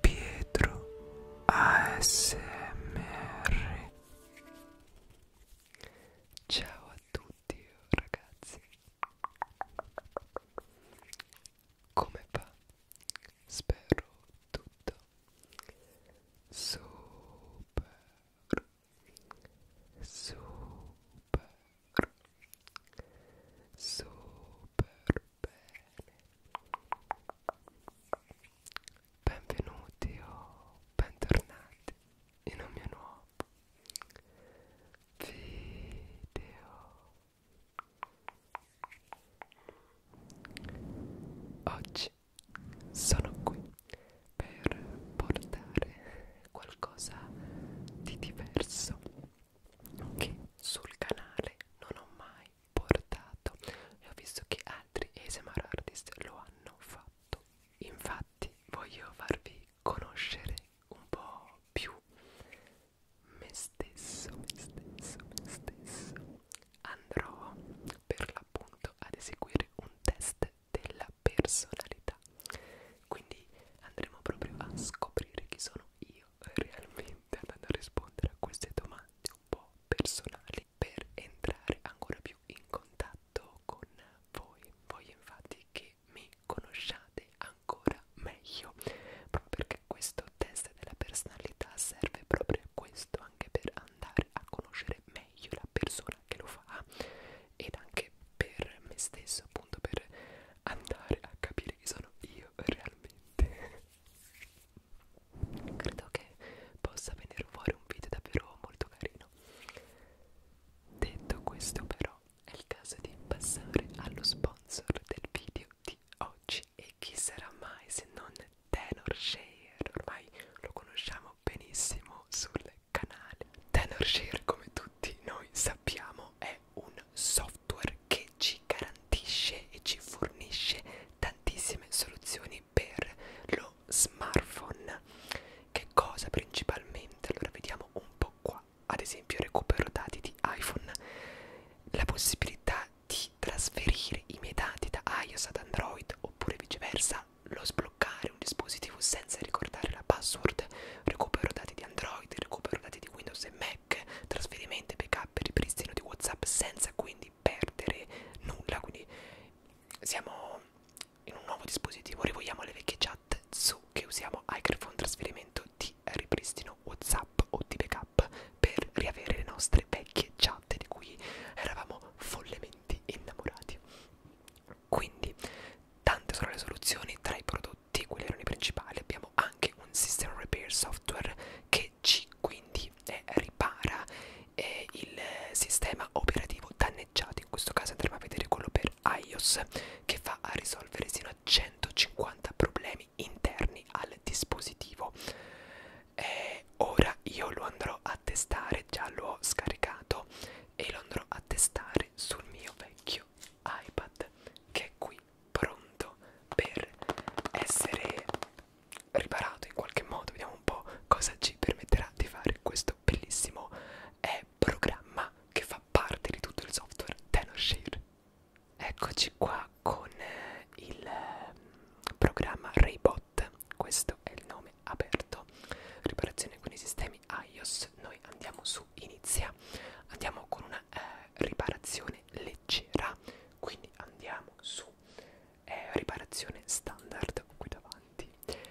Pietro ASMR Ciao a tutti ragazzi Come va? Spero tutto super super super bene benvenuti o bentornati in un mio nuovo video oggi sono qui per portare qualcosa di diverso che sul canale non ho mai portato e ho visto che altri ASMR artist lo hanno fatto infatti voglio farvi conoscere un po' più me stesso me stesso me stesso andrò per l'appunto ad eseguire un test della personalità quindi andremo proprio a scoprire chi sono io io realmente ad andare a rispondere a queste domande un po' personali per entrare ancora più in contatto con voi. Voglio infatti che mi conosciate ancora meglio, proprio perché questo test della personalità serve proprio a questo, anche per andare a conoscere meglio la persona che lo fa ed anche per me stesso, appunto per andare a capire chi sono io realmente credo che possa venire fuori un video davvero molto carino detto questo però è il caso di passare allo sponsor del video di oggi e chi sarà mai se non Tenor Share ormai lo conosciamo benissimo sul canale Tenor Share come tutti noi sappiamo è un software che ci garantisce e ci fornisce tantissime soluzioni per lo smartphone che cosa principalmente allora vediamo un po' qua ad esempio recupero dati di iPhone la possibilità di trasferire i miei dati da iOS ad Android oppure viceversa lo sbloccare un dispositivo senza ricordare la password recupero dati di Android recupero dati di Windows e Mac Slack, trasferimenti, backup, ripristino di WhatsApp senza quindi perdere nulla. Quindi siamo in un nuovo dispositivo, rivogliamo le vecchie chat su che usiamo iCarphone trasferimento di ripristino WhatsApp o di backup per riavere le nostre vecchie chat di cui eravamo follemente innamorati. Quindi tante sono le soluzioni tra i prodotti tutti quegli errori principali abbiamo anche un system repair software che ci quindi eh, ripara eh, il sistema operativo danneggiato in questo caso andremo a vedere quello per iOS che va a risolvere sino a 150 problemi interni al dispositivo eh, ora io lo andrò a testare già l'ho scaricato e lo andrò a testare sul mio vecchio iPad che è qui pronto per essere riparato in qualche modo. Vediamo un po' cosa ci permetterà di fare questo bellissimo eh, programma che fa parte di tutto il software TenorShare. Eccoci qua con eh, il ehm, programma Raybot, questo è il nome aperto, riparazione con i sistemi iOS, noi andiamo su inizia, andiamo con una una eh, riparazione leggera quindi andiamo su eh, riparazione standard qui davanti eh,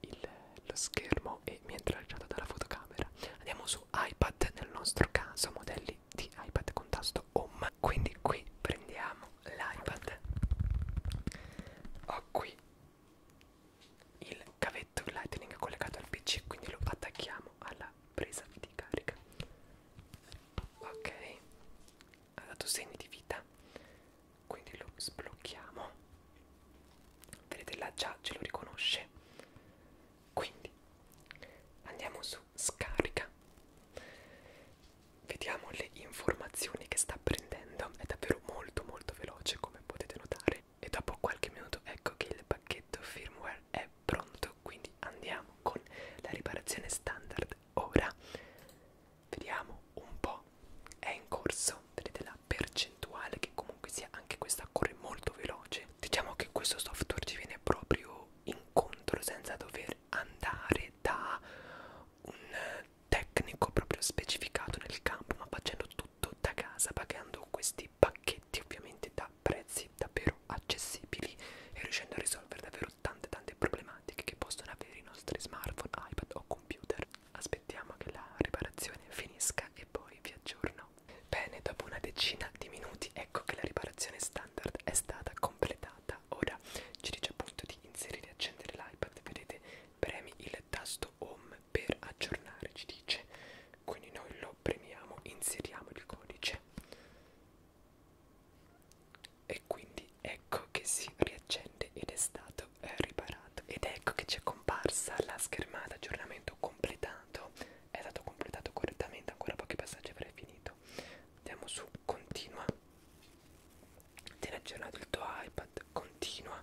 il, lo schermo e mi è tracciato dalla fotocamera andiamo su iPad nel nostro caso modelli di iPad con tasto home quindi qui prendiamo l'iPad ho qui il cavetto lightning collegato al pc quindi lo attacchiamo alla presa di carica ok ha dato segni di vita quindi lo sblocchiamo vedete là già ce lo riconosce quindi andiamo su scarica vediamo le informazioni che sta prendendo è davvero molto molto veloce come potete notare e dopo qualche minuto ecco che il pacchetto firmware bar è pronto quindi andiamo con la riparazione standard ora vediamo un po' è in corso vedete la percentuale che comunque sia anche questa corre molto veloce diciamo che questo software ci viene proprio incontro senza dover andare da un tecnico proprio specificato nel campo ma facendo tutto da casa pagando questi dei pacchetti ovviamente da prezzi davvero accessibili e riuscendo a risolvere davvero tante tante problematiche che possono avere i nostri smartphone, iPad o computer. Aspettiamo che la riparazione finisca e poi vi aggiorno. Bene, dopo una decina di minuti ecco che la riparazione standard è stata completata. Ora ci dice appunto di inserire e accendere l'iPad, vedete, premi il tasto home per aggiornare, ci dice. Quindi noi lo premiamo, inseriamo il codice e quindi ecco che si riaccende ed è stato eh, riparato ed ecco che ci è comparsa la schermata aggiornamento completato è stato completato correttamente ancora pochi passaggi avrei finito andiamo su continua ti aggiornato il tuo iPad continua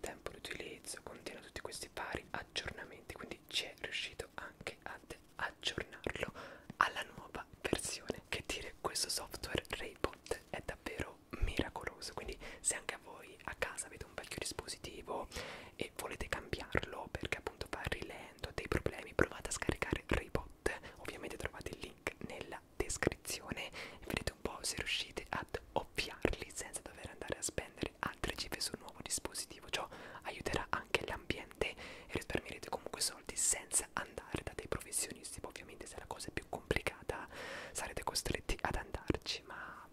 tempo di utilizzo contiene tutti questi vari aggiornamenti quindi ci è riuscito invito anche ad aggiornarlo alla nuova versione che dire questo software Raypot è davvero miracoloso quindi se anche a voi a casa avete un vecchio dispositivo e volete cambiarlo perché appunto va rilento dei problemi provate a scaricare Raypot ovviamente trovate il link nella descrizione e vedete un po' se riuscite ad ovviarli senza dover andare a spendere aggiungere altre cifre sul nuovo dispositivo, ciò aiuterà anche l'ambiente e risparmierete comunque soldi senza andare da dei professionisti, ovviamente se la cosa è più complicata sarete costretti ad andarci, ma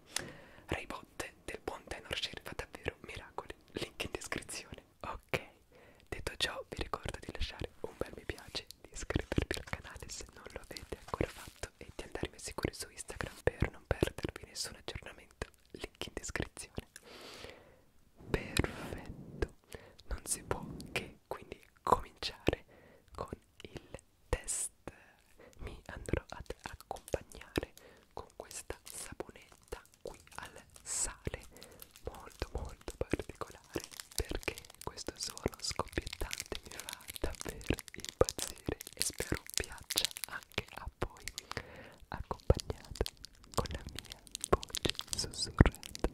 Raybot del buon tenor share fa davvero miracoli, link in descrizione. Ok, detto ciò vi ricordo di lasciare un bel mi piace, di iscrivervi al canale se non lo avete ancora fatto e di andarmi a seguire su Instagram per non perdervi nessun aggiornamento link in descrizione perfetto non si può che quindi cominciare con il test mi andrò ad accompagnare con questa saponetta qui al sale molto molto particolare perché questo suono scoppiettante mi fa davvero impazzire e spero piaccia anche a poi accompagnata con la mia voce sussurrata.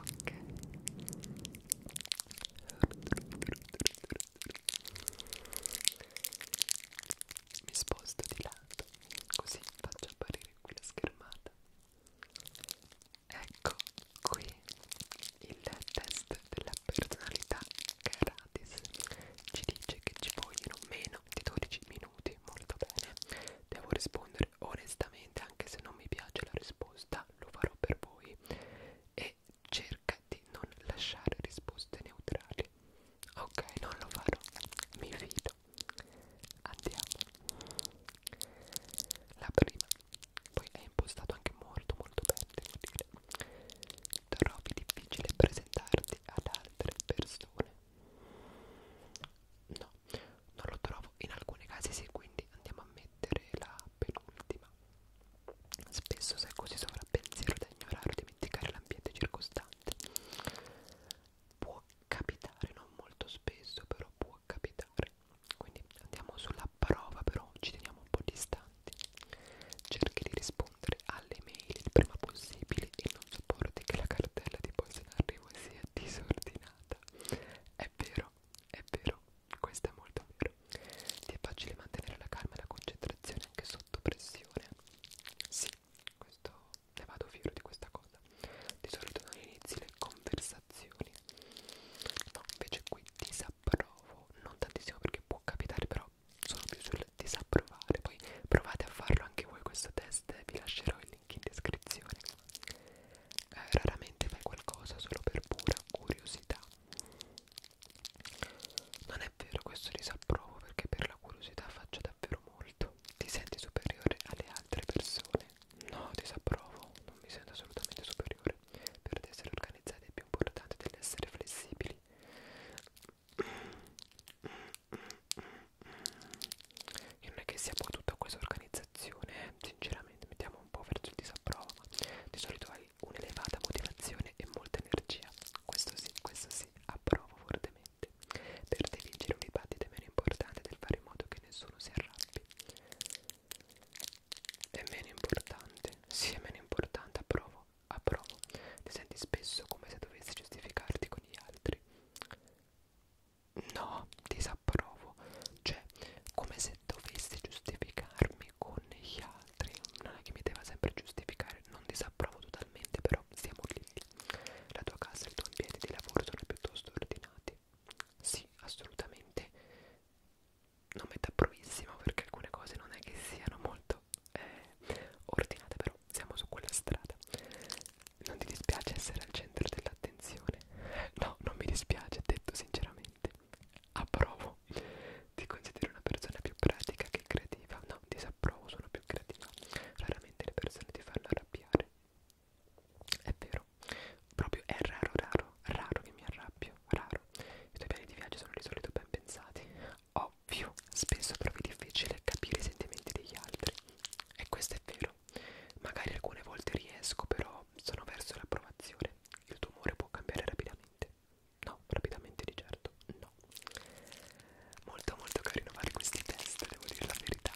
Ok. Mi sposto di lato, così faccio apparire qui la schermata. Ecco, qui il test della personalità gratis ci dice che ci vogliono meno di 12 minuti molto bene devo rispondere onestamente anche se non mi piace la risposta lo farò per voi e cerca di non lasciare risposte neutrali ok non lo farò mi fido andiamo la prima poi è impostato anche molto molto bene devo dire trovi difficile presentarti ad altre persone no non lo trovo in alcuni casi sì quindi andiamo a mettere la penultima spesso sei così sovrappensiero da ignorare o dimenticare l'ambiente circostante può capitare non molto spesso però può capitare quindi andiamo sulla prova però, ci teniamo un po' distanti. Cerchi di rispondere alle mail il prima possibile e non sopporti che la cartella di posta in arrivo sia disordinata. È vero, è vero, questo è molto vero. Ti è facile mantenere la calma e la concentrazione anche sotto pressione. Sì, questo ne vado fiero di questa cosa. Di solito non inizi le conversazioni. No, invece qui ti sa approvo non tantissimo perché può capitare però sono più sul disapprovare poi provate a farlo anche voi questo test vi lascerò il link in descrizione eh, raramente fai qualcosa solo per pura curiosità non è vero questo disapprovo perché per la curiosità faccio davvero molto ti senti superiore alle altre persone no disapprovo non mi sento assolutamente superiore per essere organizzati è più importante dell'essere flessibili e non è che sia poi tutta questa organizzazione eh. sinceramente mettiamo un po' verso il disapprovo di solito hai un'elevata motivazione e molta energia questo sì questo sì approvo fortemente per te vincere un dibattito è meno importante del fare in modo che nessuno si arrabbi è meno importante sì è meno importante approvo approvo ti senti spesso come se dovessi giustificarti con gli altri no disapprovo cioè come se dovessi giustificarmi con gli altri non è che mi deva sempre giustificare non disapprovo totalmente però siamo lì la tua casa e il tuo ambiente di lavoro sono piuttosto ordinati sì assolutamente una metà provissima perché alcune cose non è che siano molto eh, ordinate però siamo su quella strada non ti dispiace essere al centro dell'attenzione? no, non mi dispiace, detto sinceramente approvo ti considero una persona più pratica che creativa no, disapprovo, sono più creativa raramente le persone ti fanno arrabbiare è vero, proprio è raro, raro, raro che mi arrabbio, raro vero. I tuoi piani di viaggio sono di solito ben pensati. Ovvio, spesso trovi difficile capire i sentimenti degli altri. E questo è vero. Magari alcune volte riesco, però sono verso l'approvazione. Il tuo umore può cambiare rapidamente. No, rapidamente di certo, no. Molto molto carino fare questi test, devo dire la verità.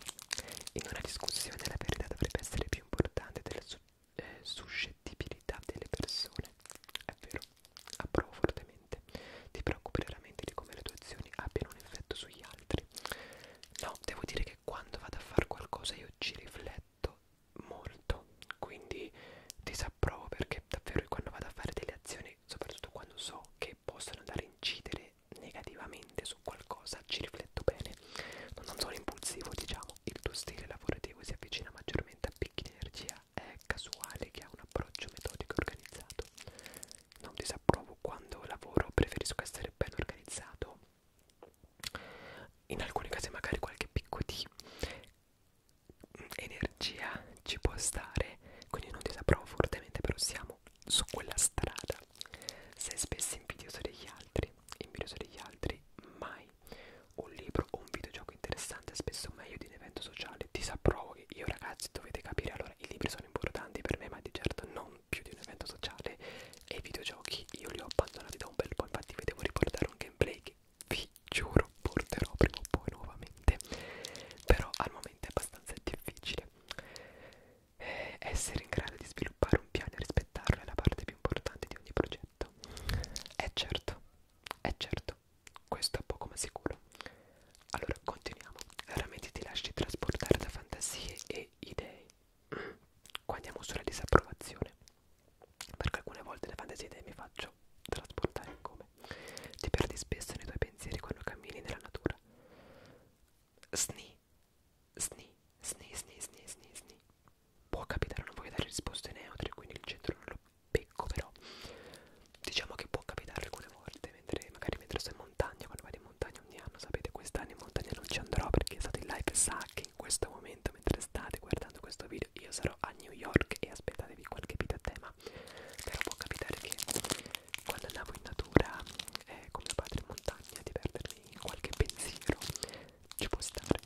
In una discussione la verità dovrebbe essere più importante del successo eh, suscettibilità delle persone. È vero, approvo fortemente. Ti preoccupi veramente di come le tue azioni abbiano un effetto sugli altri? No, devo dire che quando vado a fare qualcosa io ci rifletto molto, quindi disapprovo perché davvero quando vado a fare delle azioni, soprattutto quando so che possono andare a incidere negativamente su qualcosa, ci rifletto bene. Non sono impulsivo, diciamo. Il tuo stile lavorativo si avvicina maggiormente a picchi di energia, è casuale che ha un approccio metodico e organizzato. Non disapprovo quando lavoro, preferisco essere ben organizzato. In alcuni casi magari qualche picco di mm, energia ci può stare, quindi non disapprovo fortemente, però siamo su quella strada. Sei spesso invidioso degli altri, invidioso degli altri, mai mai. Un libro o un videogioco interessante è spesso meglio di un evento sociale. Disapprovo che io ragazzi dovete capire, allora i libri sono importanti per me, ma di certo non più di un evento sociale. E i videogiochi io li ho abbandonati da un bel po', infatti vi devo riportare un gameplay che vi giuro porterò prima o poi nuovamente. Però al momento è abbastanza difficile. Eh, essere in grado di sviluppare un piano e rispettarlo è la parte più importante di ogni progetto. E eh, certo, eh certo, questo è poco ma sicuro. Allora, continuiamo. Raramente ti lasci trasportare da fantasie e idee. Mm. Qua andiamo sulla disapprovazione. Perché alcune volte le fantasie e idee mi faccio trasportare come? Ti perdi spesso nei tuoi pensieri quando cammini nella natura. Sni, sni, sni, sni, sni, sni, sni può capitare, non voglio dare risposte neutre, quindi il centro non lo becco, però diciamo che può capitare alcune volte, mentre magari mentre sto in montagna, quando vado in montagna ogni anno, sapete, quest'anno in montagna non ci andrò perché state in live, sa che in questo momento, mentre state guardando questo video, io sarò a New York e aspettatevi qualche video a tema, però può capitare che quando andavo in natura, eh, come padre in montagna, di perdermi qualche pensiero, ci può stare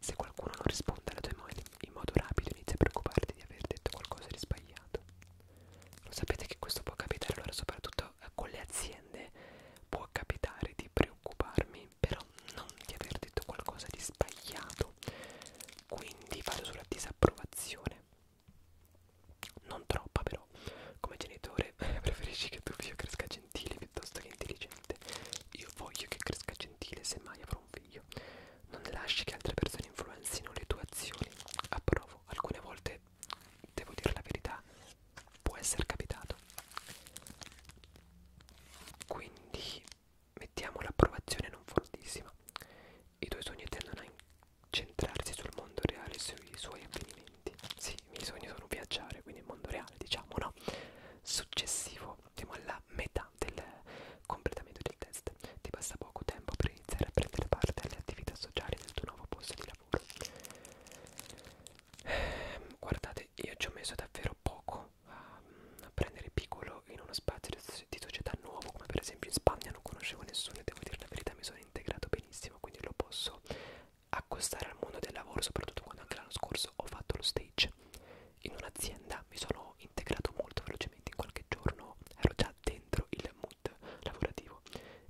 se qualcuno non risponde alle tue mail in modo rapido inizia a preoccuparti di aver detto qualcosa di sbagliato. Lo sapete che questo può capitare, allora soprattutto eh, con le aziende può capitare di preoccuparmi, però non di aver detto qualcosa di sbagliato. Quindi vado sulla disapprovazione. Non troppa però. Come genitore preferisci che tuo figlio cresca gentile piuttosto che intelligente. Io voglio che cresca gentile, semmai avrò un figlio meglio. Non lasci che altre persone influenzino le tue azioni. Approvo, alcune volte, devo dire la verità, può essere capitato. Quindi mettiamo l'approvazione non fortissima. I tuoi sogni tendono a incentrarsi sul mondo reale e sui suoi avvenimenti. Sì, i miei sogni sono viaggiare, quindi il mondo reale, diciamo, no? Successivo, siamo alla metà modalità del completamento del test. Ti basta poco tempo per iniziare a prendere parte alle attività sociali del tuo nuovo posto di lavoro. Ehm, guardate, io ci ho messo davvero poco a, a prendere piccolo in uno spazio di società nuovo, come per esempio in Spagna non conoscevo nessuno e devo dire la verità mi sono integrato benissimo, quindi lo posso accostare al mondo del lavoro, soprattutto quando anche l'anno scorso ho fatto lo stage in un'azienda mi sono integrato molto velocemente in qualche giorno ero già dentro il mood lavorativo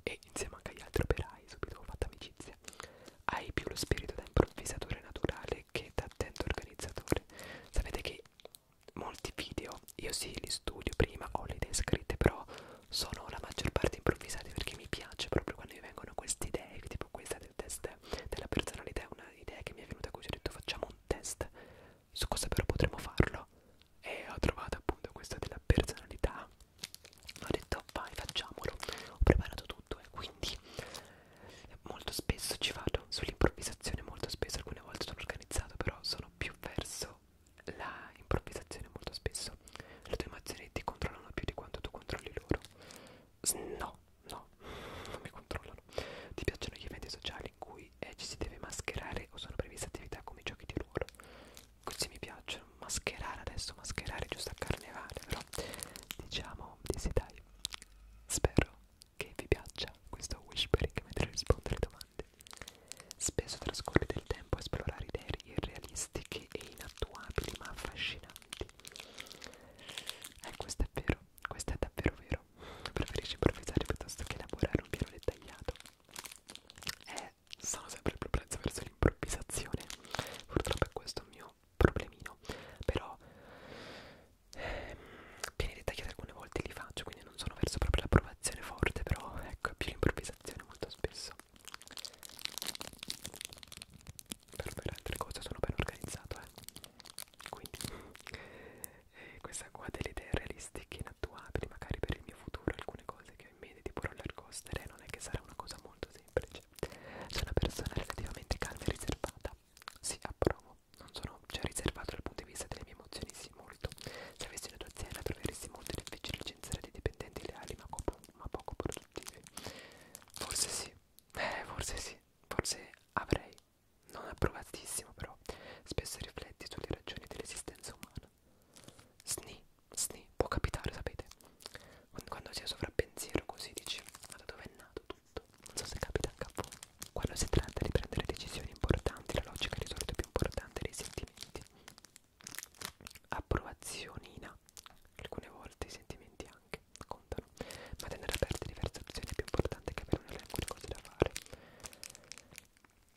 e insieme anche agli altri operai subito ho fatto amicizia hai più lo spirito da improvvisatore naturale che da attento organizzatore sapete che molti video io sì li studio prima ho le idee scritte però sono la maggior parte improvvisate perché mi piace proprio quando mi vengono queste idee tipo questa del test della personalità è un'idea che mi è venuta così ho detto facciamo un test su cosa però potremmo farlo e ho trovato appunto questa della personalità ho detto vai facciamolo ho preparato tutto e quindi molto spesso ci vado sull'improvvisazione molto spesso alcune volte sono organizzato però sono più verso la improvvisazione molto spesso le tue emozioni ti controllano più di quanto tu controlli loro No, no, non mi controllano. Ti piacciono gli eventi sociali in cui eh, ci si deve mascherare o sono previste attività come i giochi di ruolo? Così mi piacciono. Mascherare adesso, mascherare giusto a carnevale, però diciamo di sì dai. Spero che vi piaccia questo whispering mentre rispondo alle domande. Spesso trascorre del tempo a esplorare idee irrealistiche e inattuabili ma affascinanti. Eh, questo è vero questo è davvero vero preferisci improvvisare piuttosto che elaborare un piano dettagliato e eh, sono sempre più prezzo verso l'improvvisazione purtroppo è questo il mio problemino però ehm, piani dettagliati alcune volte li faccio quindi non sono verso proprio l'approvazione forte però ecco è più l'improvvisazione molto spesso però per altre cose sono ben organizzato eh quindi eh, questa qua delle idee realistiche inattuabili magari per il mio futuro alcune cose che ho in mente tipo roller coaster e eh, non è che sarà una cosa molto semplice sono una persona relativamente calma e riservata sì approvo non sono cioè riservato dal punto di vista delle mie emozioni sì molto se avessi una tua azienda troveresti molto difficile licenziare dei dipendenti leali ma, ma poco produttivi forse sì eh, forse sì forse avrei non approvatissimo però, spesso rifletti sulle ragioni dell'esistenza umana. Sni, sni, può capitare, sapete? Quando si è sovrappensiero così dici, ma da dove è nato tutto? Non so se capita anche a voi. Quando si tratta di prendere decisioni importanti, la logica è risorto più importante dei sentimenti. Approvazionina, alcune volte i sentimenti anche che contano, ma tenere aperte diverse opzioni è più importante che avere un elenco di cose da fare.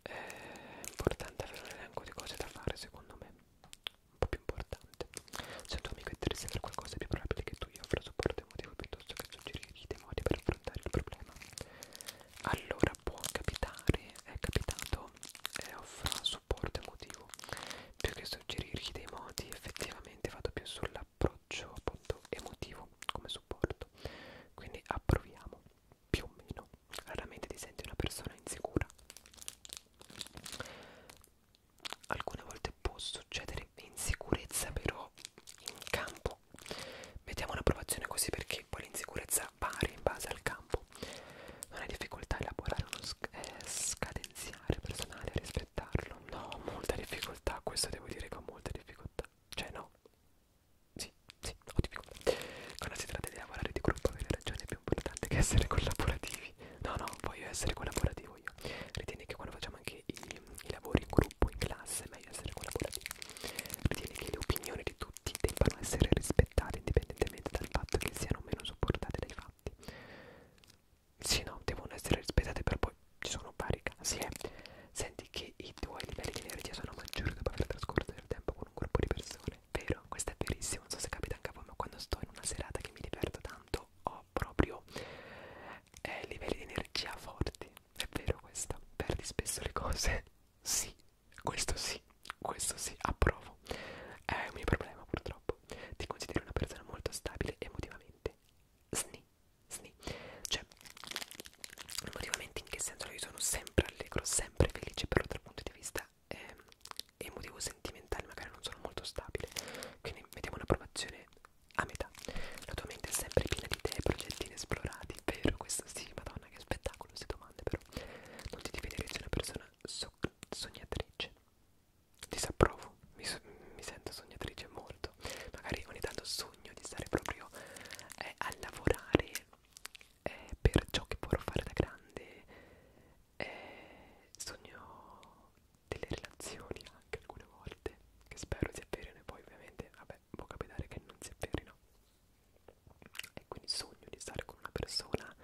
È importante avere un elenco di cose da fare, secondo me, un po' più importante. Se un tuo amico è triste per qualcosa è più probabile che tu gli offra supporto emotivo piuttosto che suggerire dei modi per affrontare il problema. Allora può capitare, è capitato, e eh, offra supporto emotivo. Più che suggerirgli dei modi, effettivamente vado più sulla approccio appunto emotivo come supporto quindi approviamo più o meno raramente ti senti una persona insicura alcune volte può succedere insicurezza però in campo mettiamo un'approvazione così perché poi l'insicurezza varia in base al campo non hai difficoltà a elaborare uno sc eh, scadenziare personale a rispettarlo no molta difficoltà questo devo dire con molta difficoltà cioè no sì, sì, ho difficoltà quando si tratta di lavorare di gruppo avete ragione è più importante che essere collaborativi no no voglio essere collaborativo io ritieni che quando facciamo anche i, i lavori in gruppo in classe è meglio essere collaborativi ritieni che le opinioni di tutti debbano essere rispettate indipendentemente dal fatto che siano meno supportate dai fatti sì no devono essere rispettate per poi ci sono vari casi eh. Senti che i tuoi livelli di energia sono maggiori dopo aver trascorso del tempo con un gruppo di persone Vero, questo è verissimo, non so se capita anche a voi ma quando sto in una serata che mi diverto tanto ho proprio eh, livelli di energia forti È vero questo, perdi spesso le cose Sì, questo sì, questo sì, approvo È un mio problema purtroppo Ti considero una persona molto stabile emotivamente Sni sni. Cioè, emotivamente in che senso? Io sono sempre allegro, sempre felice, però dal punto di vista eh, emotivo sentimentale magari non sono molto stabile. Quindi mettiamo un'approvazione a metà. La tua mente è sempre piena di idee e progetti inesplorati, vero? Questo sì, madonna che spettacolo, queste domande però. Non ti devi vedere se una persona so sognatrice. Disapprovo, mi, so mi sento sognatrice, mo molto magari ogni tanto sogno di stare proprio eh, a lavorare eh, per ciò che vorrò fare da grande eh, sogno delle relazioni anche alcune volte che spero si avverino e poi ovviamente vabbè può capitare che non si avverino e quindi sogno di stare con una persona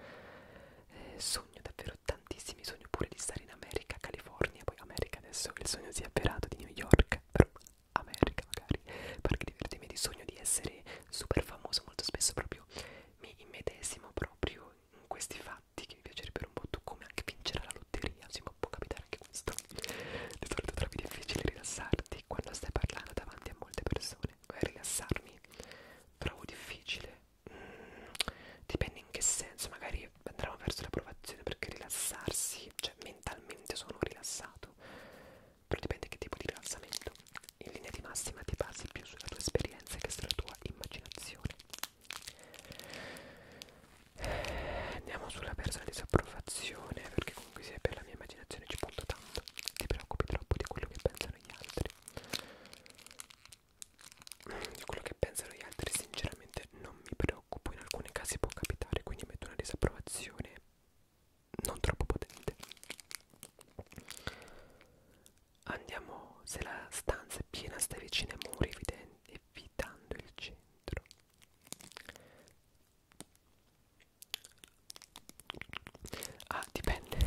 eh, sogno davvero tantissimi sogno pure di stare in America, California poi America adesso il sogno si è avverato di New York per America magari perché divertirmi di sogno di essere super famoso molto spesso proprio mi immedesimo proprio in questi fatti che mi piacerebbero un po' tu come anche vincere la lotteria sì, ma può capitare anche questo di solito trovi difficile rilassarti quando stai parlando davanti a molte persone rilassarmi trovo difficile mm, dipende in che senso magari poi andremo verso l'approvazione perché rilassarsi, cioè mentalmente sono rilassato, però dipende che tipo di rilassamento. In linea di massima ti basi più sulla tua esperienza che sulla tua immaginazione. Andiamo sulla persona disapprovazione perché comunque se per la mia immaginazione ci punto tanto, ti preoccupi troppo di quello che pensano gli altri. Di quello che pensano gli altri sinceramente sinceramente non mi preoccupo, in alcuni casi può capitare, quindi metto una disapprovazione non troppo potente. Andiamo, se la stanza è piena, stai vicino ai muri, evitando il centro. Ah, dipende.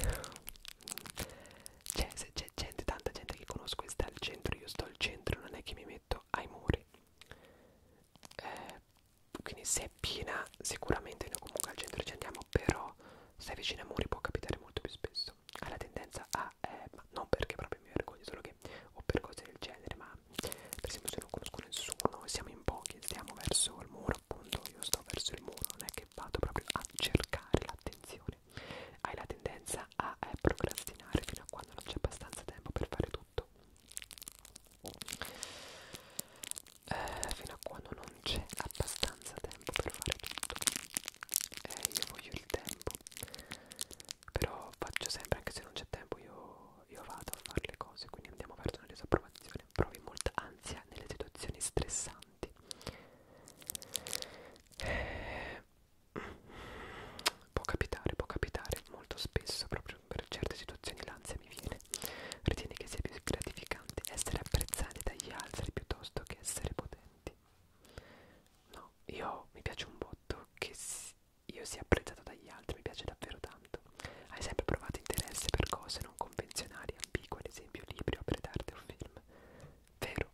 Cioè, c'è gente, tanta gente che conosco che sta al centro, io sto al centro, non è che mi metto detto ai muri eh, quindi se è piena sicuramente noi comunque al centro ci andiamo però se è vicino ai muri può capitare molto più spesso ha la tendenza a eh, ma non perché proprio mi vergogno solo che o per cose del genere ma per esempio se non conosco nessuno siamo in pochi stiamo verso il muro appunto io sto verso il muro non è che vado proprio a cercare l'attenzione hai la tendenza a eh, procrastinare fino a quando non c'è abbastanza tempo per fare tutto eh, fino a quando non c'è abbastanza tempo per fare tutto eh, io voglio il tempo però faccio sempre anche se non c'è tempo io, io vado a fare le cose quindi andiamo verso una disapprovazione provi molta ansia nelle situazioni stressanti eh, può capitare può capitare molto spesso proprio per certe situazioni l'ansia mi viene. Ritieni che sia più gratificante essere apprezzati dagli altri piuttosto che essere potenti? No, io mi piace un botto che io sia apprezzato dagli altri, mi piace davvero tanto. Hai sempre provato interesse per cose non convenzionali, ambigue, ad esempio libri, opere d'arte o film? Vero,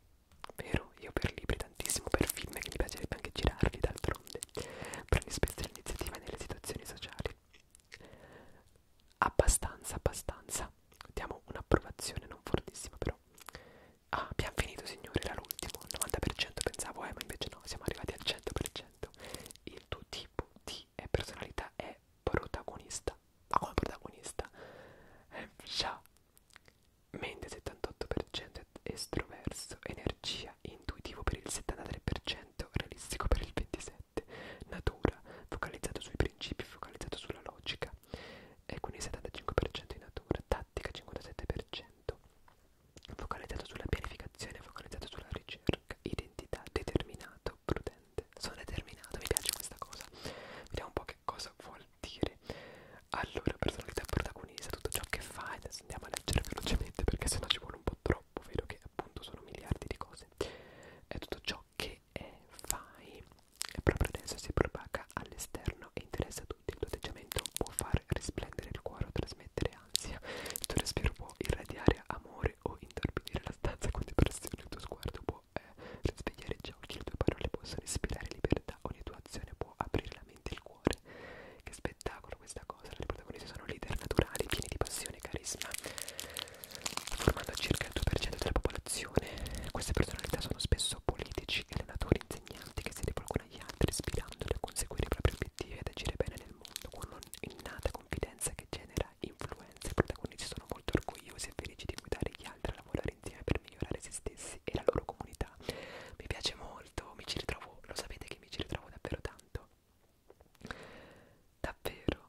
vero, io per libri tantissimo, per film che mi piacerebbe anche girarli d'altronde d'altronde prendi spesso l'iniziativa nelle situazioni sociali abbastanza abbastanza diamo un'approvazione non fortissima però ah abbiamo finito signore era l'ultimo 90% pensavo eh ma invece no siamo arrivati al 100% il tuo tipo di eh, personalità è protagonista ma come protagonista eh, già mente 78% estroverso energia sia intuitivo per il 73%, realistico per il 27%, natura, focalizzato sui principi, focalizzato sulla logica, e quindi 75% in natura, tattica 57%, focalizzato sulla pianificazione, focalizzato sulla ricerca, identità, determinato, prudente. Sono determinato, mi piace questa cosa. Vediamo un po' che cosa vuol dire. Allora, personalità protagonista protagonista, tutto ciò che fa adesso andiamo a leggere velocemente perché sennò ci vuole un po' troppo, vedo che appunto sono miliardi di cose è tutto ciò che è, eh, fai e proprio adesso si propaga all'esterno e interessa a tutti il tuo atteggiamento può far risplendere il cuore o trasmettere ansia il tuo respiro può irradiare amore o intorbidire la stanza con depressione il tuo sguardo può eh, risvegliare gli occhi le tue parole possono ispirare libertà ogni tua azione può aprire la mente e il cuore cuore. Che spettacolo questa cosa! Le protagoniste sono leader naturali, pieni di passione e carisma, formando circa il 2% della popolazione. Queste personalità sono spesso politici, allenatori, insegnanti che si rivolgono agli altri, ispirandoli a conseguire i propri obiettivi ed agire bene nel mondo con un'innata confidenza che genera influenza. I protagonisti sono molto orgogliosi e felici di guidare gli altri a lavorare insieme per migliorare se stessi e la loro comunità. Mi piace molto, mi ci ritrovo, lo sapete che mi ci ritrovo davvero tanto tanto davvero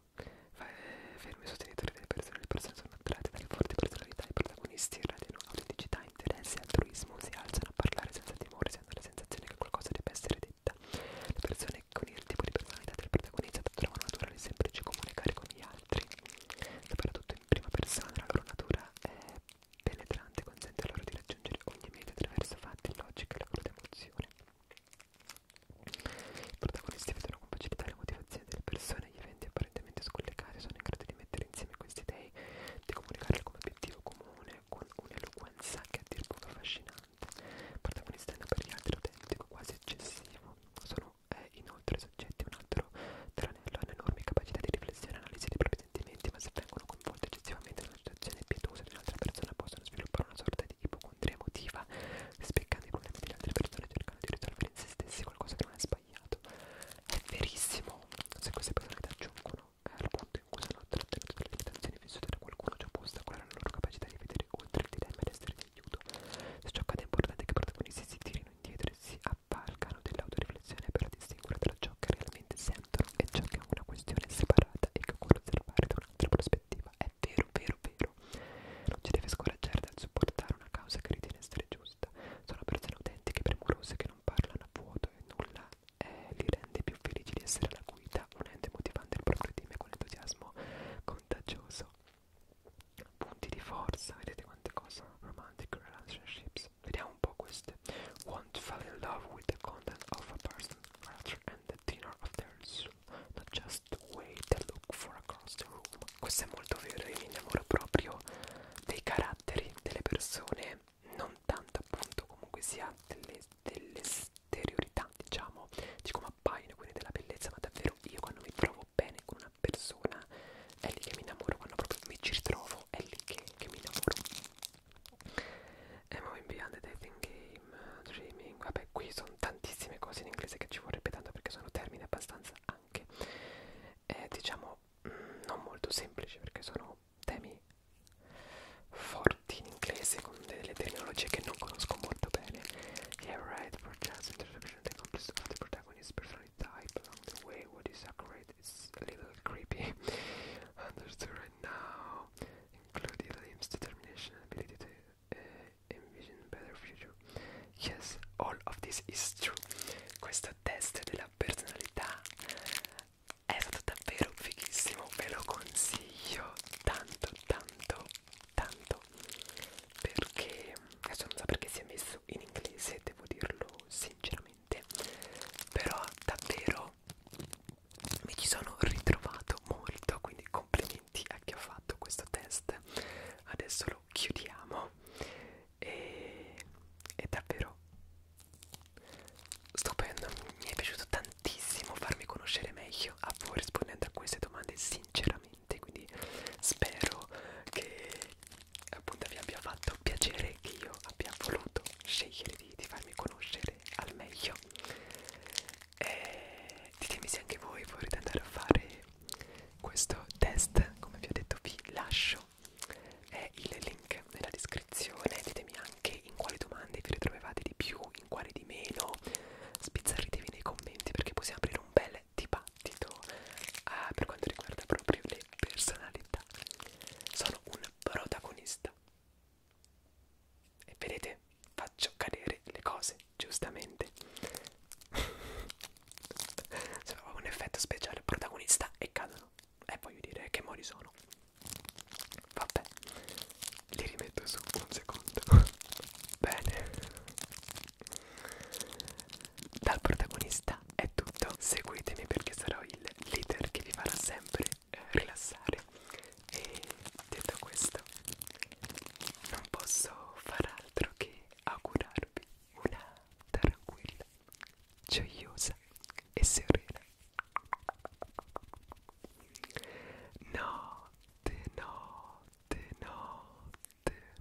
fermi sostenitori delle persone le persone sono attratte dalle forti personalità i protagonisti irradiano autenticità interesse e altruismo si alzano a parlare senza timore si hanno la sensazione che qualcosa debba essere detta le persone con il tipo di personalità del protagonista trovano naturale e semplice comunicare con gli altri soprattutto in prima persona la loro natura è penetrante consente loro di raggiungere ogni meta attraverso fatti logiche e la cruda emozione. I protagonisti vedono con facilità le motivazioni delle persone e gli eventi apparentemente scollegati sono in grado di mettere insieme questi idei, di comunicarli come obiettivo comune con un'eloquenza che è a dir poco affascinante, protagonistando per gli altri autentico, quasi eccessivo. Sono eh, inoltre soggetti a un altro tranello, hanno enormi capacità di riflessione e analisi dei propri sentimenti, ma se vengono coinvolte eccessivamente nella situazione pietosa di un'altra persona, possono sviluppare una sorta di ipocondria emotiva, spiegando i problemi delle altre persone e cercando di risolvere in se stessi qualcosa che non è sbagliato. È verissimo, se queste persone ti aggiungono eh, al punto in cui sono trattenuti dalle limitazioni vissute da qualcuno, ciò può ostacolare la loro capacità di vedere oltre il dilemma ed essere di aiuto. Se ciò accade è importante che i protagonisti si tirino indietro e si avvalgano dell'autoriflessione per distinguere tra ciò che realmente sentono e ciò che è una questione separata e che occorre osservare da un'altra prospettiva è vero, vero, vero. Non ci deve scoraggiare dal supportare una causa che ritiene essere giusta. Sono persone autentiche, premurose, che non parlano a vuoto e nulla eh, li rende più felici di essere alla guida, unendo e motivando il proprio team con entusiasmo contagioso. Punti di forza, vedete quante cose? Romantic relationships. Vediamo un po' queste. Want fell in love with the content of a person, rather and the dinner of their soul, not just the way they look for across the room. Questo è molto vero, io mi innamoro proprio dei caratteri delle persone, non tanto appunto comunque sia delle, delle steriorità, diciamo, di come appaiono, quindi della bellezza, ma davvero io quando mi trovo bene con una persona è lì che mi innamoro, quando proprio mi ci ritrovo è lì che, che mi innamoro. Emma in Beyond the Dating Game, eh, Dreaming, vabbè qui sono tantissime cose in inglese che ci vorrebbe tanto perché sono termini abbastanza anche, eh, diciamo, mh, mm, non molto semplici perché sono temi forti in inglese con delle terminologie che non conosco molto bene. Yeah, right, broadcast, interpretation, the complex of the protagonist, personality type, along the way, what is accurate, is a little creepy, understood right now include Liam's determination and ability to uh, envision a better future. Yes, all of this is true. Questo test della personalità è stato davvero fighissimo, ve lo consiglio tanto, tanto, tanto. Perché adesso non so perché si è messo in inglese, devo dirlo sinceramente. Però davvero mi ci sono ritrovato molto quindi complimenti a chi ha fatto questo test adesso lo chiudiamo e è davvero stupendo mi è piaciuto tantissimo farmi conoscere meglio a voi rispondendo a queste domande sinceramente quindi spero che appunto vi abbia fatto piacere che io abbia voluto scegliere di, di farmi conoscere al meglio video e eh, ditemi se anche voi vorrete andare a fare questo test come vi ho detto vi lascio è il link nella descrizione ditemi anche in quali domande vi ritrovavate di più in quali di meno spizzarritevi nei commenti perché possiamo aprire un bel dibattito uh, per quanto riguarda proprio le personalità sono un protagonista e vedete, faccio cadere le cose, giustamente. Sembrava un effetto speciale, protagonista e cadono. E eh, voglio dire che mori sono. Vabbè, li rimetto su un secondo. Bene. Dal protagonista è tutto. Seguitemi perché sarò il leader che vi farà sempre eh, rilassare e detto questo non posso far altro che augurarvi una tranquilla, gioiosa e serena notte, notte, notte